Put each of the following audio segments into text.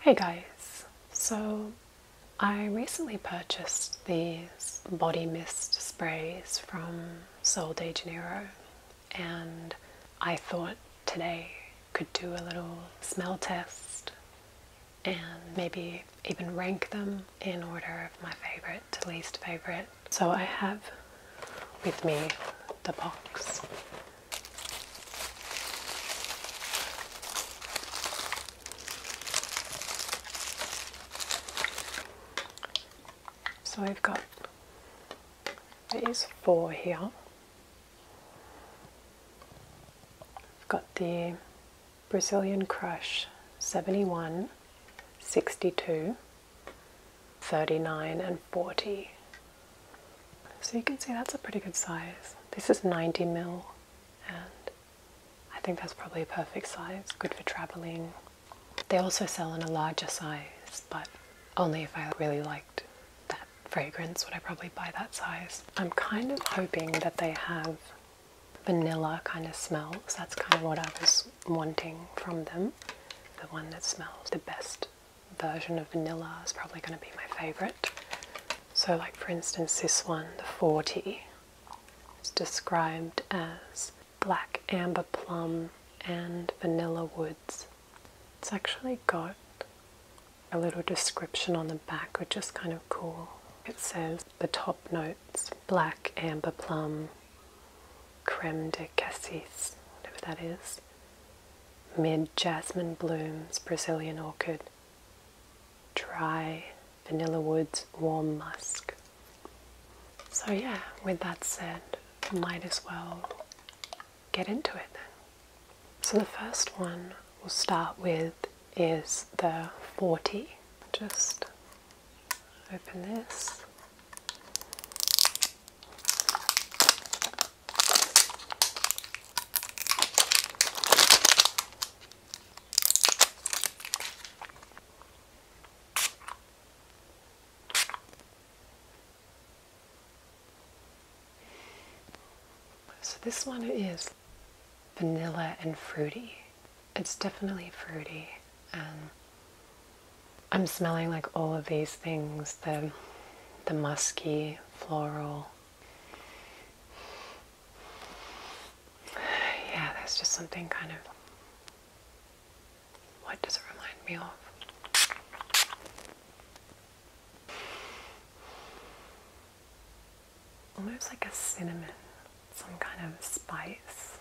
Hey guys, so I recently purchased these body mist sprays from Sol de Janeiro and I thought today could do a little smell test and maybe even rank them in order of my favorite to least favorite. So I have with me the box so we have got these four here. we have got the Brazilian Crush 71, 62, 39 and 40. So you can see that's a pretty good size. This is 90 mil and I think that's probably a perfect size, good for traveling. They also sell in a larger size, but only if I really liked that fragrance would I probably buy that size. I'm kind of hoping that they have vanilla kind of smells. That's kind of what I was wanting from them. The one that smells the best version of vanilla is probably going to be my favourite. So, like for instance, this one, the 40, it's described as black amber plum and vanilla woods. It's actually got a little description on the back, which is kind of cool. It says the top notes black amber plum, creme de cassis, whatever that is, mid jasmine blooms, Brazilian orchid, dry vanilla woods, warm musk. So, yeah, with that said, might as well get into it then. So, the first one we'll start with is the 40. Just open this. So this one is vanilla and fruity. It's definitely fruity and um, I'm smelling like all of these things the, the musky, floral. Yeah, there's just something kind of. What does it remind me of? Almost like a cinnamon, some kind of spice.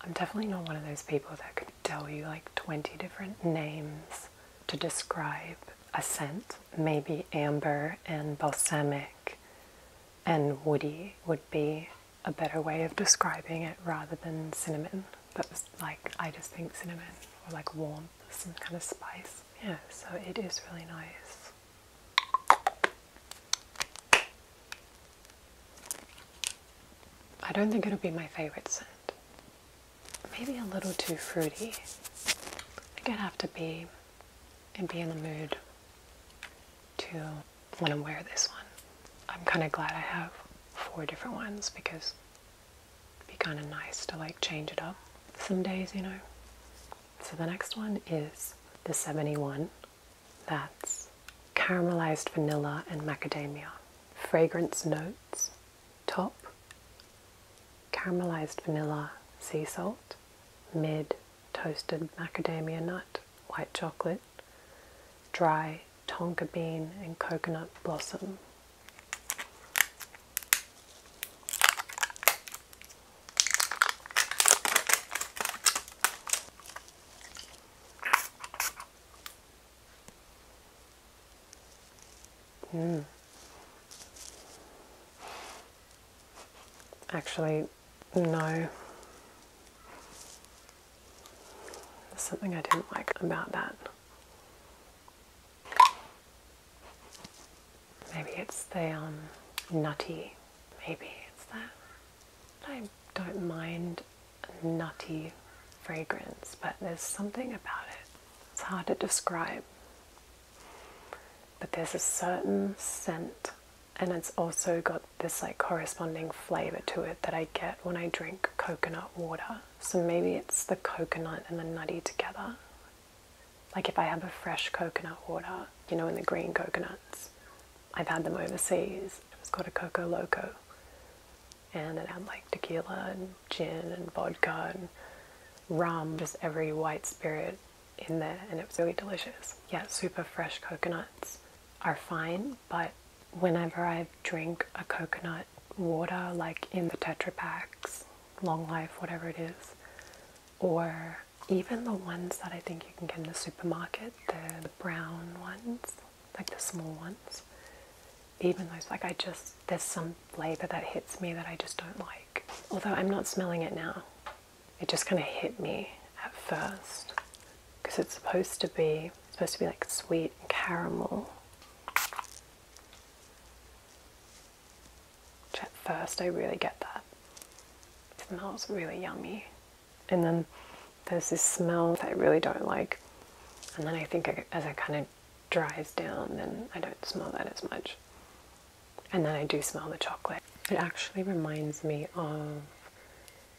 I'm definitely not one of those people that could tell you like 20 different names to describe a scent. Maybe amber and balsamic and woody would be a better way of describing it rather than cinnamon. But like, I just think cinnamon or like warmth, some kind of spice. Yeah, so it is really nice. I don't think it'll be my favorite scent. Maybe a little too fruity. I gotta have to be and be in the mood to want to wear this one. I'm kind of glad I have four different ones because it'd be kind of nice to like change it up some days, you know. So the next one is the 71 that's caramelized vanilla and macadamia. Fragrance notes, top, caramelized vanilla, sea salt, mid, toasted macadamia nut, white chocolate, dry tonka bean and coconut blossom. Mm. Actually, no. There's something I didn't like about that. Maybe it's the um, nutty, maybe it's that. I don't mind nutty fragrance, but there's something about it. It's hard to describe. But there's a certain scent, and it's also got this like corresponding flavor to it that I get when I drink coconut water. So maybe it's the coconut and the nutty together. Like if I have a fresh coconut water, you know, in the green coconuts, I've had them overseas. It was called a Coco Loco, and it had like tequila and gin and vodka and rum, just every white spirit in there, and it was really delicious. Yeah, super fresh coconuts are fine, but whenever I drink a coconut water, like in the Tetra Packs, Long Life, whatever it is, or even the ones that I think you can get in the supermarket, the, brown ones, like the small ones, even those, like I just, there's some flavor that hits me that I just don't like. Although I'm not smelling it now, it just kind of hit me at first because it's supposed to be, supposed to be like sweet and caramel at first I really get that. It smells really yummy. And then there's this smell that I really don't like. And then I think as it kind of dries down, then I don't smell that as much. And then I do smell the chocolate. It actually reminds me of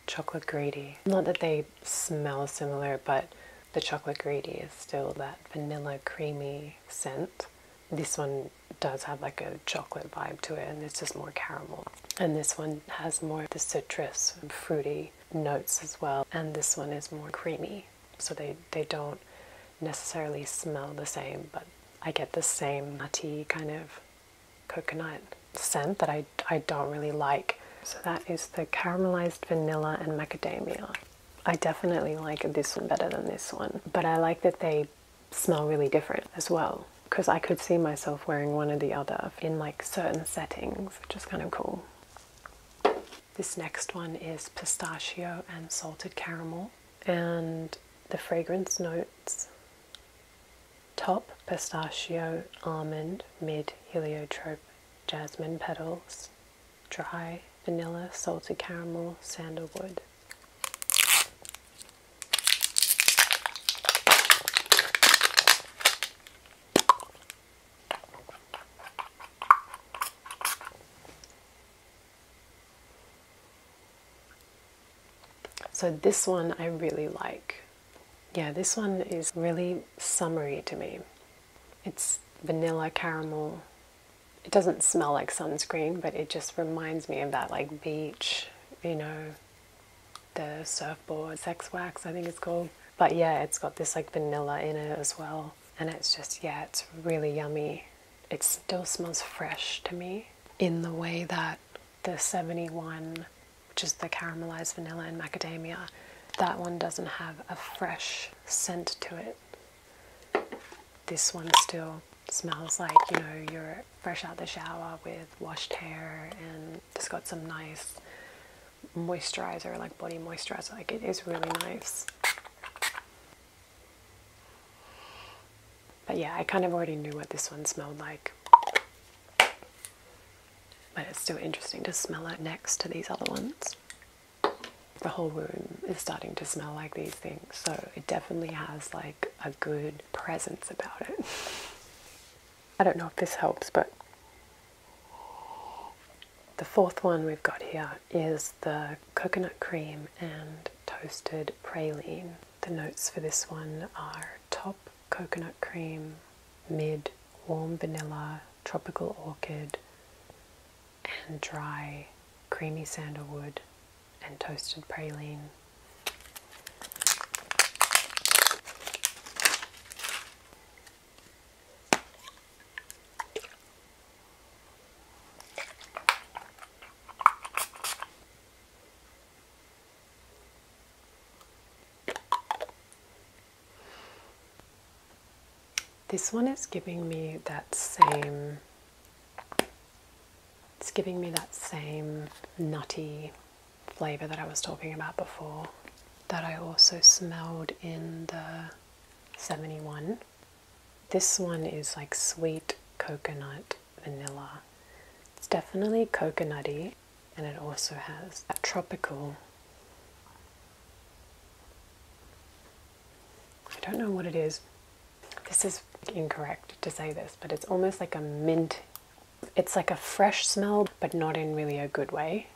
chocolate gravy. Not that they smell similar, but the chocolate gravy is still that vanilla creamy scent. This one does have like a chocolate vibe to it and it's just more caramel and this one has more the citrus fruity notes as well and this one is more creamy so they they don't necessarily smell the same but I get the same nutty kind of coconut scent that I, I don't really like so that is the caramelized vanilla and macadamia I definitely like this one better than this one but I like that they smell really different as well because I could see myself wearing one or the other in like certain settings, which is kind of cool. This next one is pistachio and salted caramel, and the fragrance notes top pistachio, almond, mid heliotrope, jasmine petals, dry vanilla, salted caramel, sandalwood. So this one I really like. Yeah, this one is really summery to me. It's vanilla, caramel, it doesn't smell like sunscreen, but it just reminds me of that like beach, you know, the surfboard sex wax, I think it's called. But yeah, it's got this like vanilla in it as well. And it's just, yeah, it's really yummy. It still smells fresh to me in the way that the 71, which is the caramelized vanilla and macadamia, that one doesn't have a fresh scent to it. This one still smells like you know you're fresh out the shower with washed hair, and it's got some nice moisturizer, like body moisturizer. Like it is really nice. But yeah, I kind of already knew what this one smelled like. But it's still interesting to smell it next to these other ones the whole room is starting to smell like these things. So it definitely has like a good presence about it. I don't know if this helps, but the fourth one we've got here is the coconut cream and toasted praline. The notes for this one are top coconut cream, mid warm vanilla, tropical orchid, and dry creamy sandalwood and toasted praline. This one is giving me that same it's giving me that same nutty flavor that I was talking about before that I also smelled in the 71. This one is like sweet coconut vanilla. It's definitely coconutty and it also has that tropical I don't know what it is. This is incorrect to say this, but it's almost like a mint. It's like a fresh smell, but not in really a good way.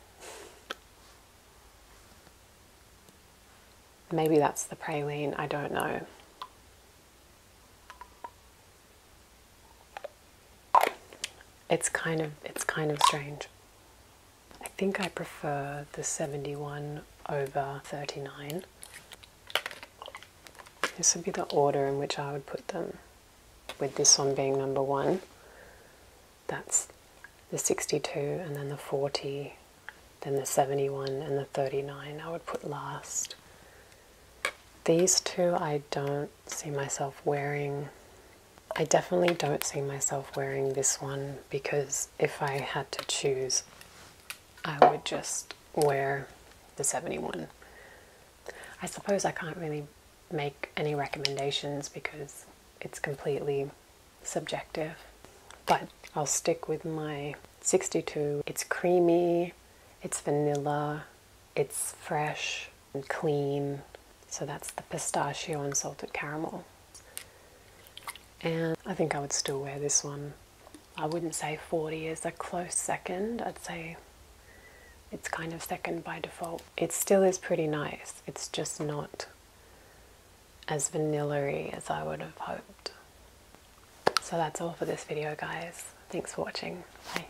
Maybe that's the praline, I don't know. It's kind of it's kind of strange. I think I prefer the 71 over 39. This would be the order in which I would put them, with this one being number one. That's the 62, and then the 40, then the 71, and the 39 I would put last. These two I don't see myself wearing I definitely don't see myself wearing this one because if I had to choose, I would just wear the 71. I suppose I can't really make any recommendations because it's completely subjective, but I'll stick with my 62. It's creamy, it's vanilla, it's fresh, and clean. So that's the pistachio and salted caramel. And I think I would still wear this one. I wouldn't say 40 is a close second, I'd say it's kind of second by default. It still is pretty nice, it's just not as vanilla as I would have hoped. So that's all for this video guys. Thanks for watching. Bye.